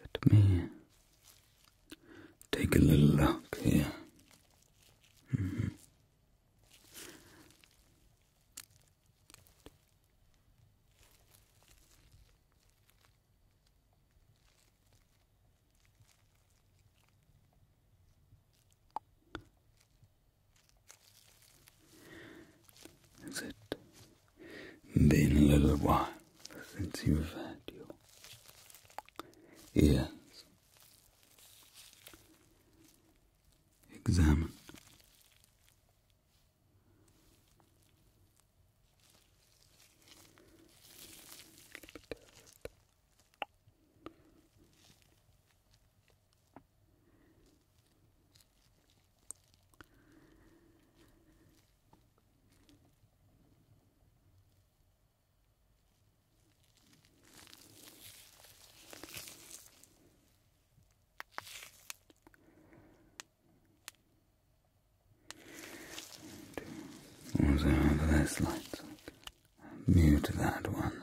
Let me take a little look here. Has it been a little while since you've had your ears examined? Also have this light, mute that one.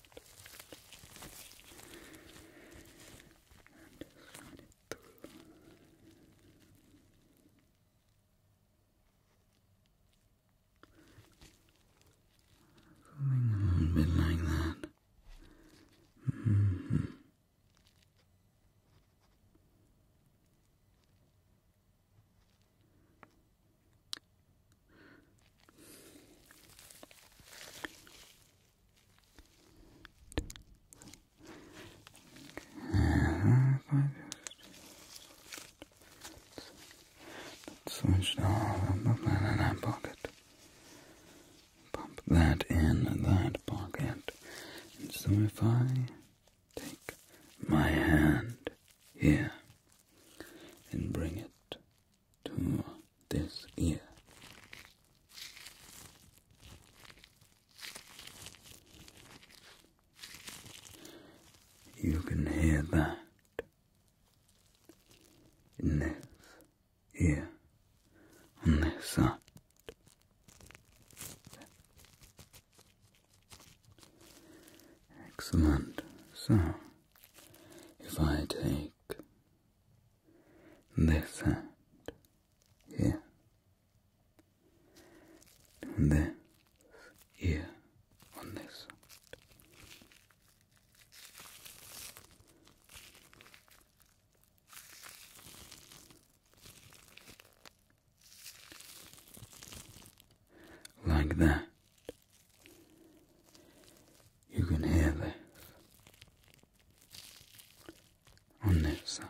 And just run bit like that. -hmm if I just switch that in that pocket, pump that in that pocket, and so if I take my hand here and bring it to this ear. You can hear that in this ear on this side. Excellent. So, if I take this here, and this ear on this Like that, you can hear this on this side.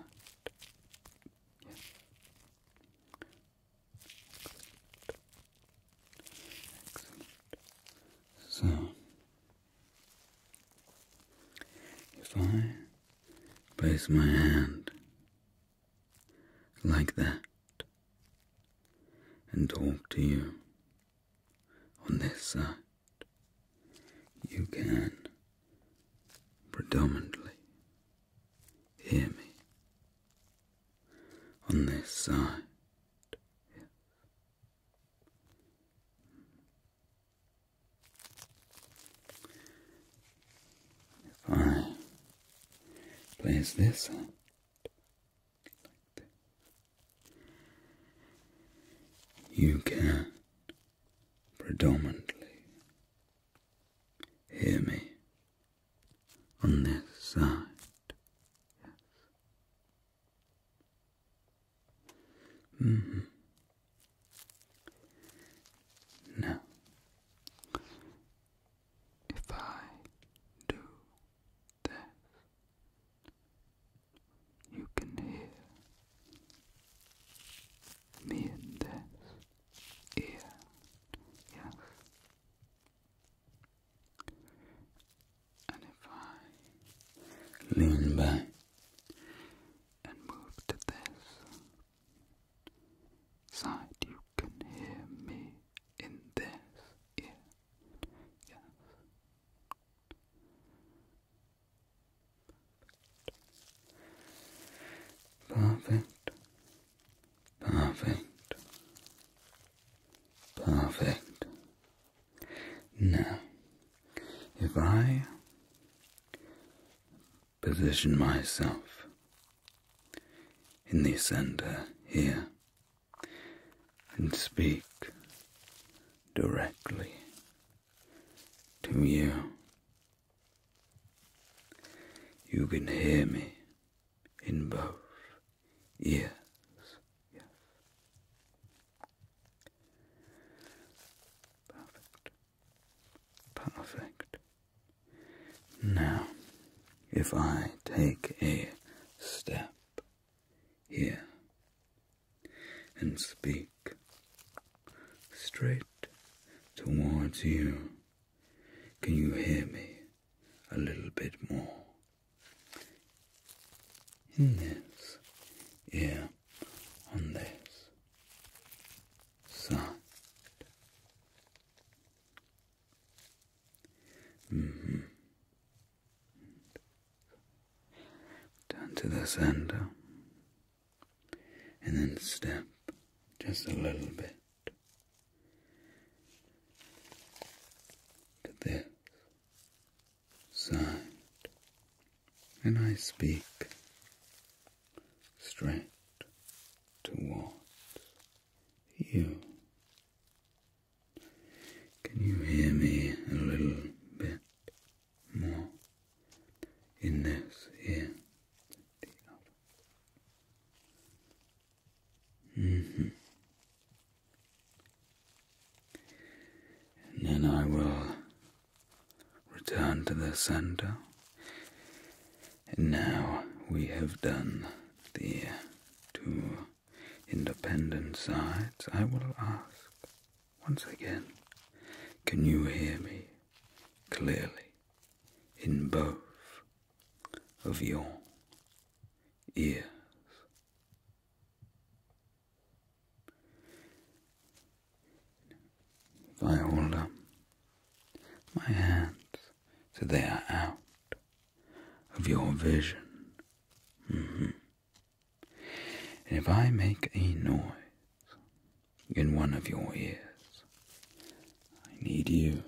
So, if I place my hand like that and talk to you on this side, you can predominantly hear me. On this side, If I place this hand you can predominantly hear me on this side. Yes. Mm-hmm. if I do this, you can hear me in this ear, yes. And if I lean back and move to this side, you can hear me in this ear. Yes. Perfect. Perfect. Perfect. Now, if I position myself in the center here and speak directly to you. You can hear me in both ears. Yes. Perfect. Perfect. Now, if I take a step here and speak straight towards you. Can you hear me a little bit more? In this ear, on this side, Mm-hmm. Turn to the center and then step just a little bit to this side, and I speak straight towards you. Can you hear me a little bit more in this ear mm-hmm. And then I will return to the center. And now we have done the two independent sides, I will ask once again can you hear me clearly in both of your ears? If I hold up my hands so they are out of your vision. And mm-hmm. if I make a noise in one of your ears, I need you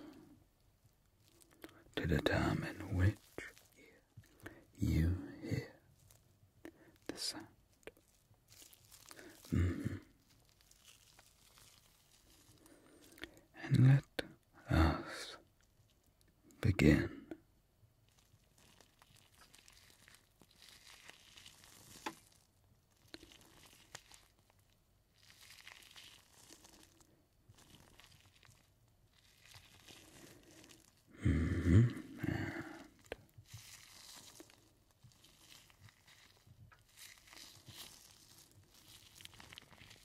to determine which you hear the sound. Mm-hmm. And let us begin. hmm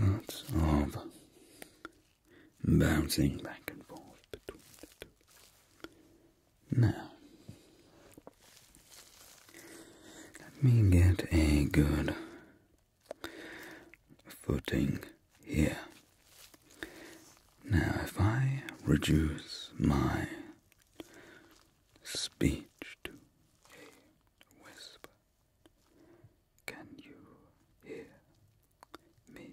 Lots of bouncing back and forth Now, let me get a good footing here. Now, if I reduce my speech to a whisper, can you hear me?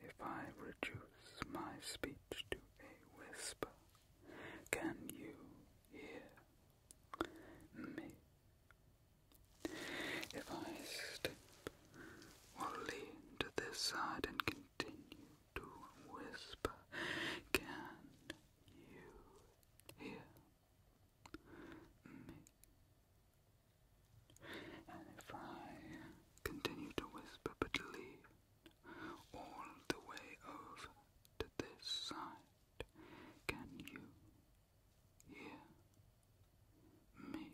If I reduce my speech to a whisper, can you hear me? If I step or lean to this side and continue to whisper, can you here, me. And if I continue to whisper but lead all the way over to this side, can you hear me?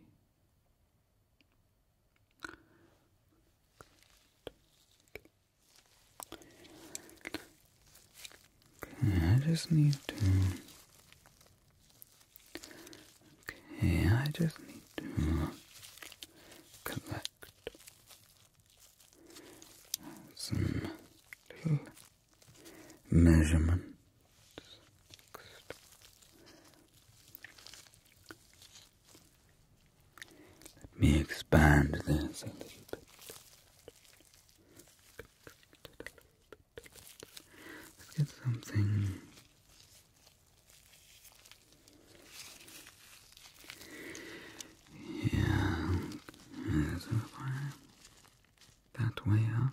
I just need to. Okay, I just need to collect some measurements. Let me expand this a little bit. Let's get something. Yeah, that way up.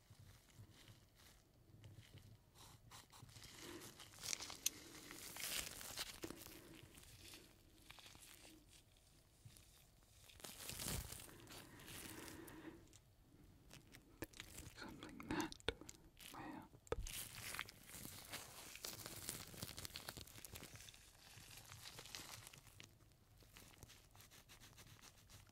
Something that may help.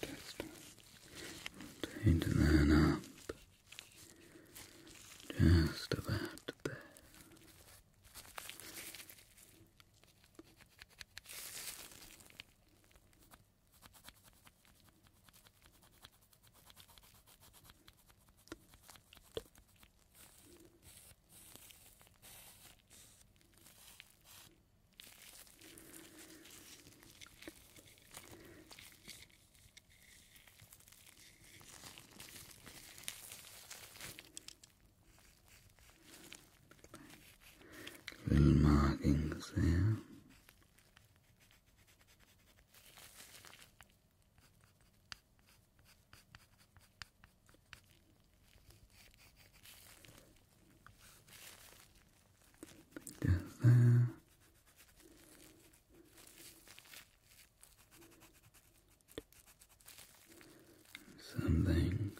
Just tighten that up. Just about there. Just Little markings there there. Something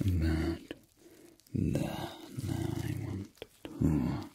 about there. Now I want to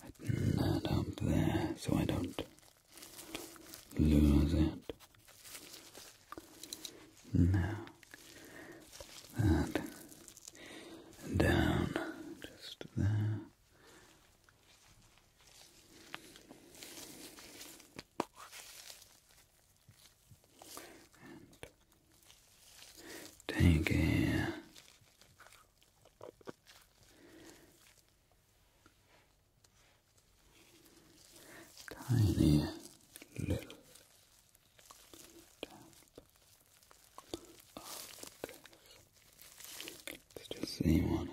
Tighten that up there so I don't lose it. Now, that down just there. And take here tiny little tap of this. Let's just see what happens.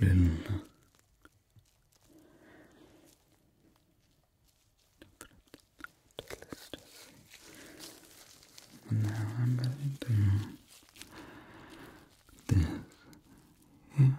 Little and now I'm going to this here.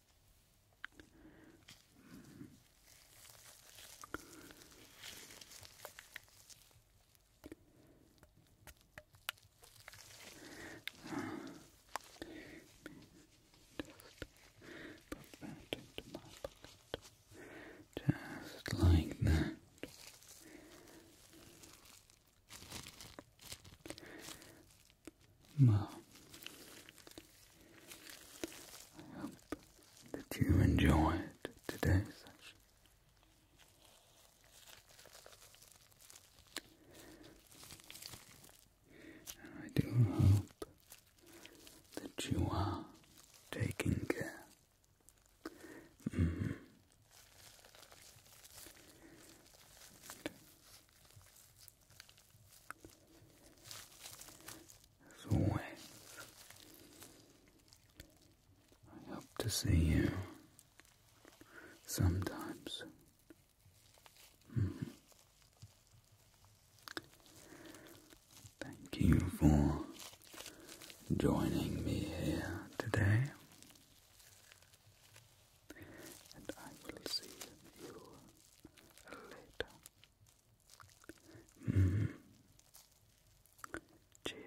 Put that into my pocket. Just like that. Well, I hope that you enjoyed today's session. I do hope that you are taking care. Mm-hmm. As I hope to see you sometimes. Mm-hmm. Thank you for joining me here today, and I will see you later. Mm. Cheers.